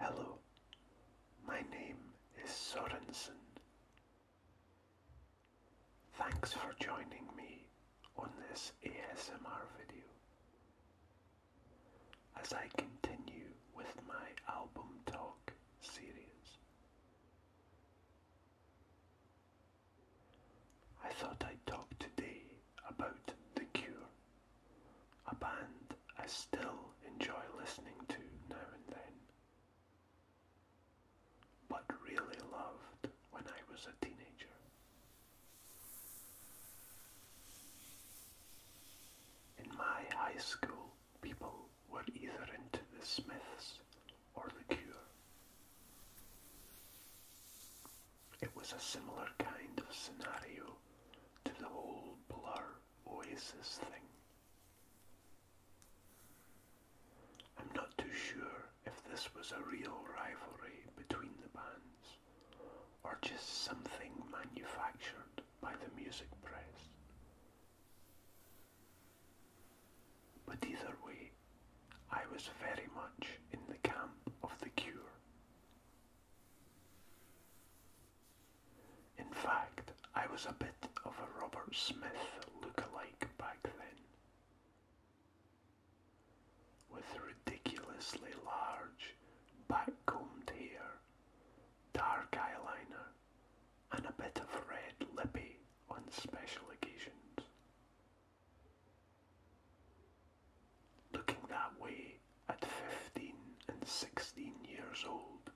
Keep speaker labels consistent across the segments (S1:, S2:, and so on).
S1: Hello, my name is Sorensen.
S2: Thanks for joining me on this ASMR video. As I continue with my album talk series, I thought I'd talk today about The Cure, a band I still enjoy listening to now
S1: and then, but really loved when I
S2: was a teenager. In my high school, people were either into the Smiths or liqueur. It was a similar kind of scenario to the whole Blur Oasis thing. I'm not too sure if this was a real rivalry between the bands or just something manufactured by the music press. But either way, I was very much in the camp of the cure. In fact, I was a bit of a Robert Smith look-alike back then, with ridiculously large, back-combed hair, dark eyeliner, and a bit of red lippy on special occasions. Looking that way at 15 and 16 years old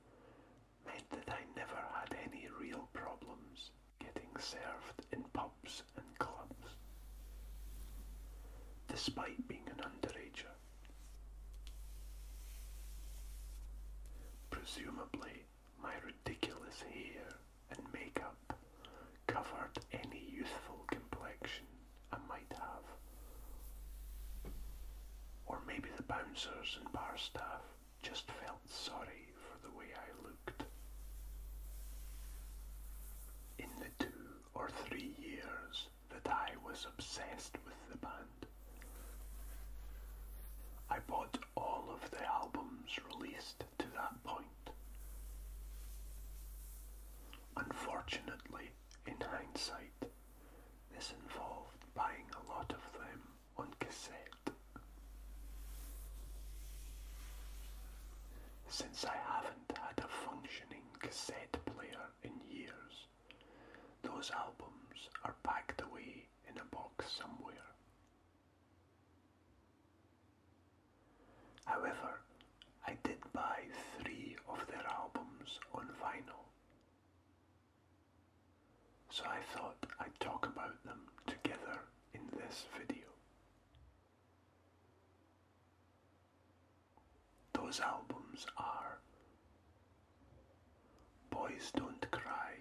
S2: meant that I never had any real problems getting served in pubs and clubs, despite being an underager. Presumably, my ridiculous hair and makeup covered any youthful complexion I might have. Or maybe the bouncers and bar staff just felt sorry for the way I looked. In the two or three years that I was obsessed with the band, I bought all of the albums released to that point. Unfortunately, in hindsight, this involved buying a lot of them on cassette.
S1: Since I haven't had a functioning cassette player in years, those albums are packed away in a box somewhere,
S2: However, I did buy three of their albums on vinyl. So I thought I'd talk about them together in this video. Those albums are Boys Don't Cry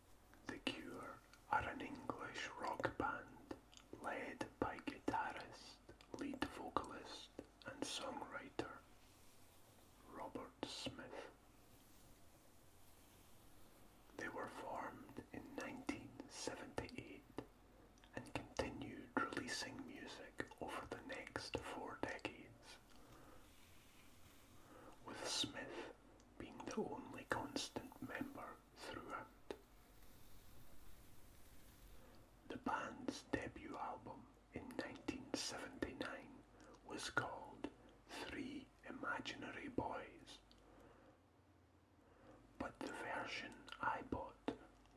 S2: The Cure are an English rock band led by guitarist, lead vocalist and songwriter Robert Smith. They were formed in 1978 and continued releasing music over the next four decades, with Smith being the only constant member throughout. The band's debut album in 1979 was called Three Imaginary Boys, but the version I bought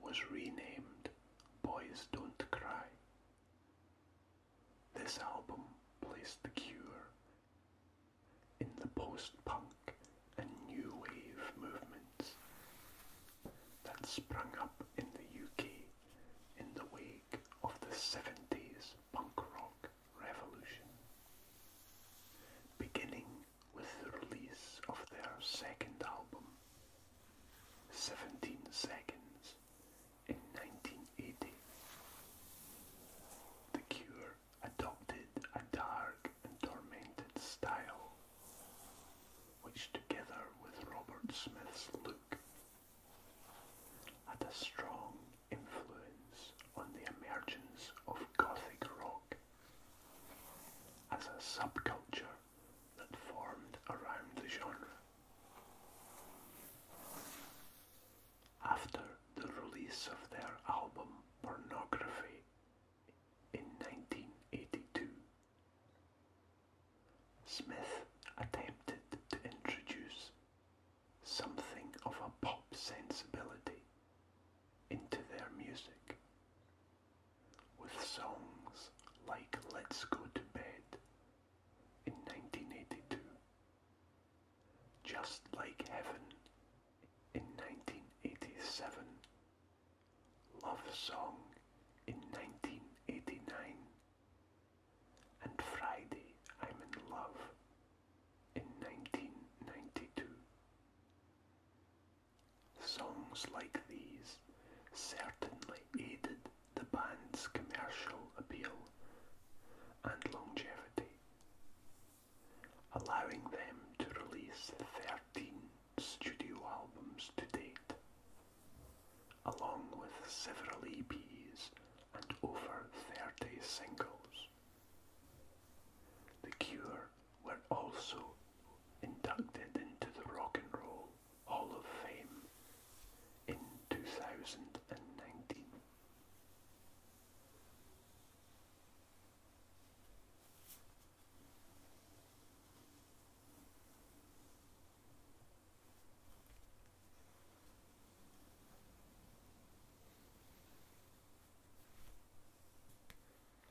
S2: was renamed Boys Don't Cry. This album placed The Cure in the post-punk and new wave movements that sprung up in the UK in the wake of the 70s punk rock revolution. Beginning with the release of their second album, 17 Seconds, in 1980. The Cure adopted a dark and tormented style, which together with Robert Smith's look had a strong influence on the emergence of Gothic rock as a subculture that formed around the genre. After the release of their album Pornography in 1982, Smith attempted to introduce something of a pop sensibility into their music with songs like Let's Go to Bed in 1982, just like Heaven in 1987, Love Song in 1989, and Friday I'm in Love in 1992. Songs like these certainly aided the band's commercial appeal and longevity, allowing them to release 13 studio albums to date, along with several EPs and over 30 singles. The Cure were also inducted into the Rock and Roll Hall of Fame in 2019.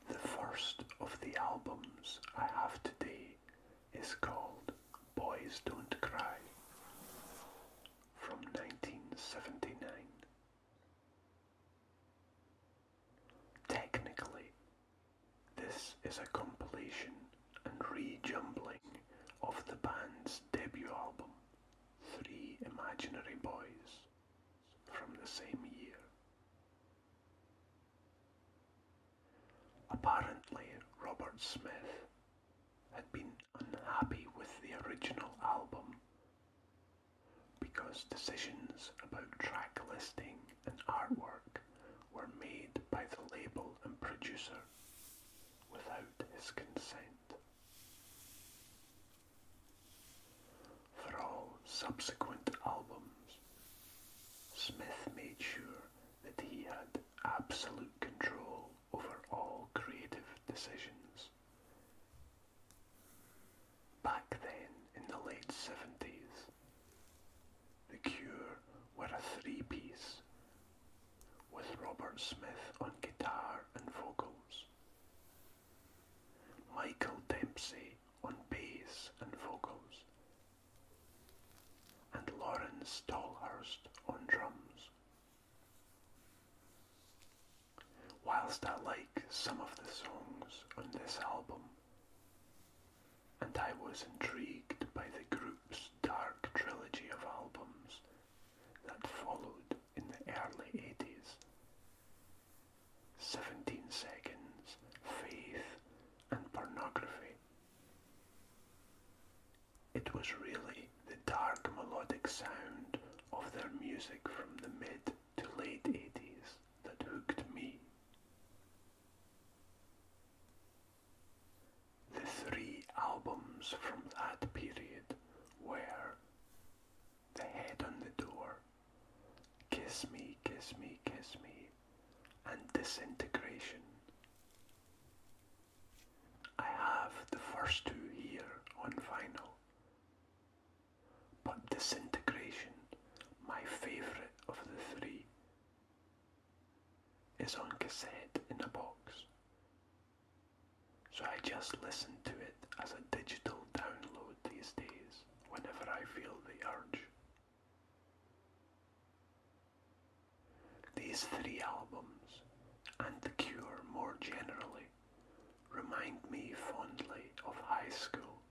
S2: The first of the albums I have today is called Boys Don't Cry from 1979. Technically, this is a compilation and rejumbling of the band's debut album, Three Imaginary Boys, from the same year. Apparently, Robert Smith had been unhappy with the original album because decisions about track listing and artwork were made by the label and producer without his consent. For all subsequent albums, Smith made sure that he had absolute control over all creative decisions. Back then, in the late 70s, The Cure were a three-piece, with Robert Smith on guitar and vocals, Michael Dempsey on bass and vocals, and Lawrence Tolhurst on drums. Whilst I like some of the songs on this album, and I was intrigued by the group's dark trilogy of albums that followed in the early 80s, 17 Seconds, Faith, and Pornography it was really the dark melodic sound of their music from the mid to late 80s that hooked me. The three albums from that period were The Head on the Door, Kiss Me, Kiss Me, Kiss Me, and disintegration. I have the first two here on vinyl, but disintegration, my favourite of the three, is on cassette in a box. So I just listen to it as a digital download these days whenever I feel the urge. These three albums, and The Cure more generally, remind me fondly of high school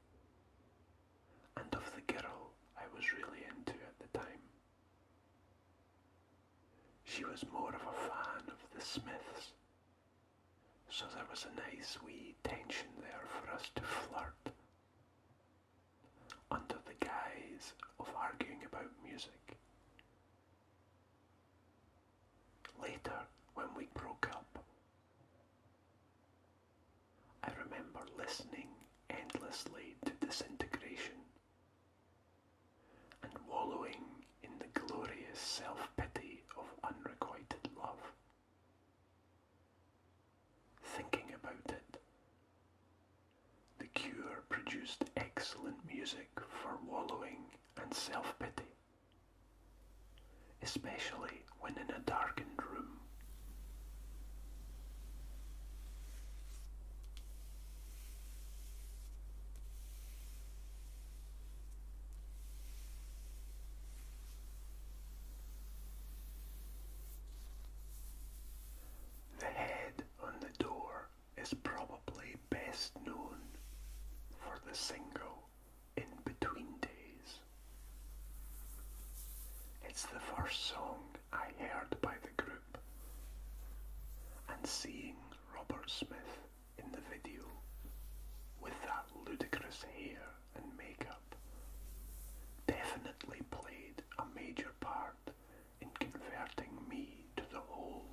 S2: and of the girl I was really into at the time. She was more of a fan of the Smiths, so there was a nice wee tension there for us to flirt under the guise of arguing about music. Later, when we broke up, I remember listening endlessly to disintegration and wallowing in the glorious self pity of unrequited love. Thinking about it, The Cure produced excellent music for wallowing and self-pity, especially when in a darkened room. The head on the door is probably best known for the single In Between Days. It's the first song I heard by the group, and seeing Robert Smith in the video with that ludicrous hair and makeup definitely played a major part in converting me to the whole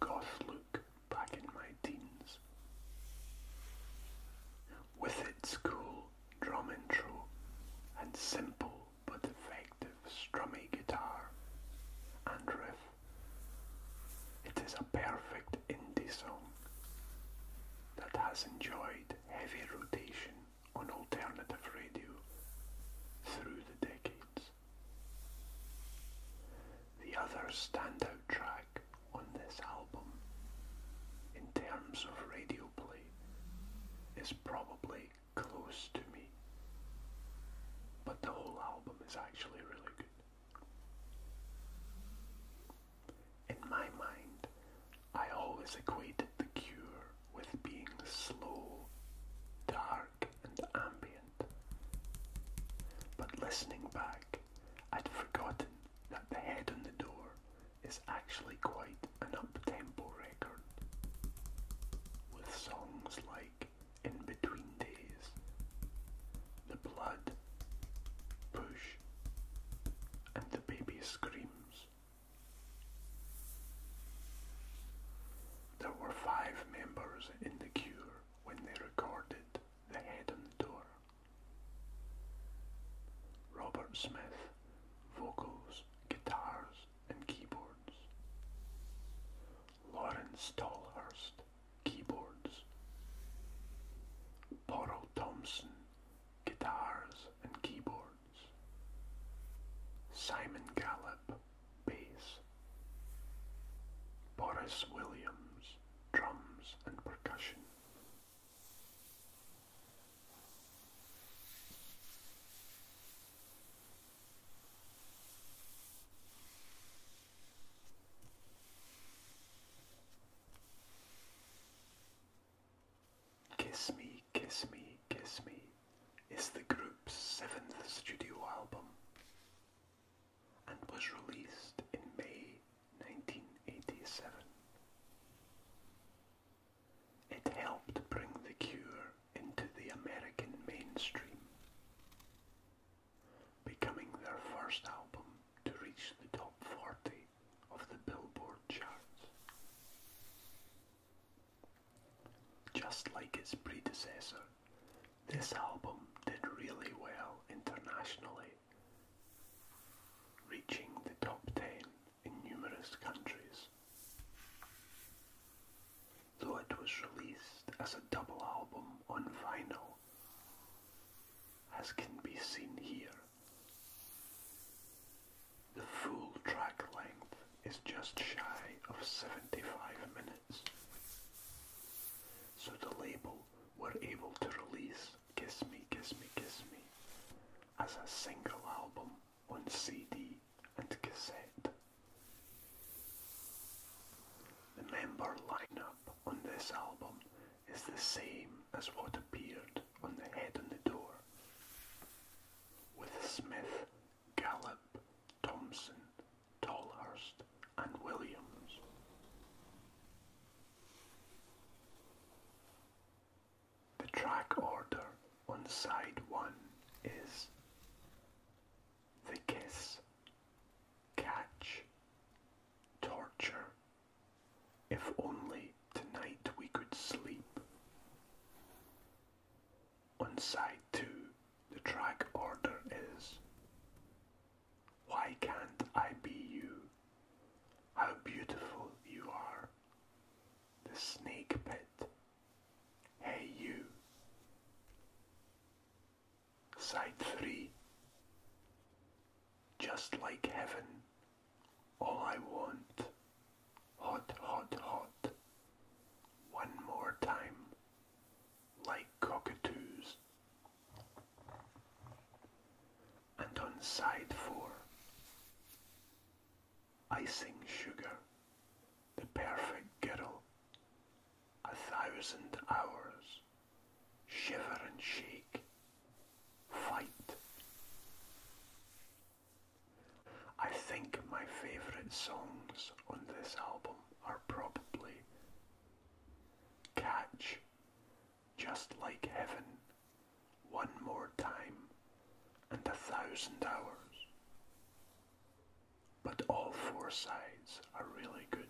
S2: goth look back in my teens. With its cool drum intro and simple but effective strummy guitar and riff, it is a perfect indie song that has enjoyed heavy rotation on alternative radio through the decades. The other standout track on this album, in terms of radio play, is probably Close to Me, but the whole album is actually really good. In my mind, I always equated the cure with being slow, dark, and ambient. But listening back, I'd forgotten that The Head on the Door is actually quite an up-tempo record, with songs like In Between Days, The Blood, Push, and the baby screams. There were five members in The Cure when they recorded The Head on the Door. Robert Smith, vocals, guitars, and keyboards. Lauren Stallhurst, keyboards. Laurel Thompson, guitars and keyboards. Simon Gallup, bass. Boris Williams, drums and percussion. Kiss Me, Kiss Me, Kiss Me is the group's seventh studio album and was released in May 1987. It helped bring The Cure into the American mainstream, becoming their first album to reach the top 40 of the Billboard charts. Just like its predecessor, this album did really well internationally, reaching the top 10 in numerous countries. Though it was released as a double album on vinyl as can be seen here. The full track length is just shy of 75 minutes, so the label were able to release Kiss Me, Kiss Me, Kiss Me as a single album on CD and cassette. The member lineup on this album is the same as what appeared on the head on the door. With Smith, Gallup, Thompson, Tolhurst, and Williams. The track order on side one is The Kiss, catch,
S1: torture. If only tonight we could
S2: sleep. On side two, the track order is Why Can't I Be You? How Beautiful You Are. The Snake Pit. Hey You. Side 3 Just like heaven, all I want, hot, hot, hot, one more time, like cockatoos. And on side 4 Icing sugar, the perfect girl, a thousand hours shiver and shake, fight. I think my favourite songs on this album are probably Catch, Just Like Heaven, One More Time, and A Thousand Hours. But all four sides are really good.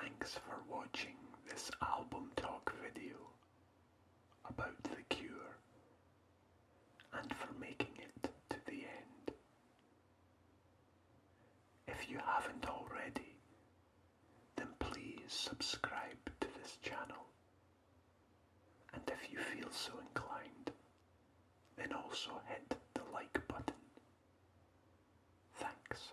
S2: Thanks for watching this album talk video about The Cure and for making it to the end. If you haven't already, then please subscribe to this channel. And if you feel so inclined, then also hit the like button. Thanks.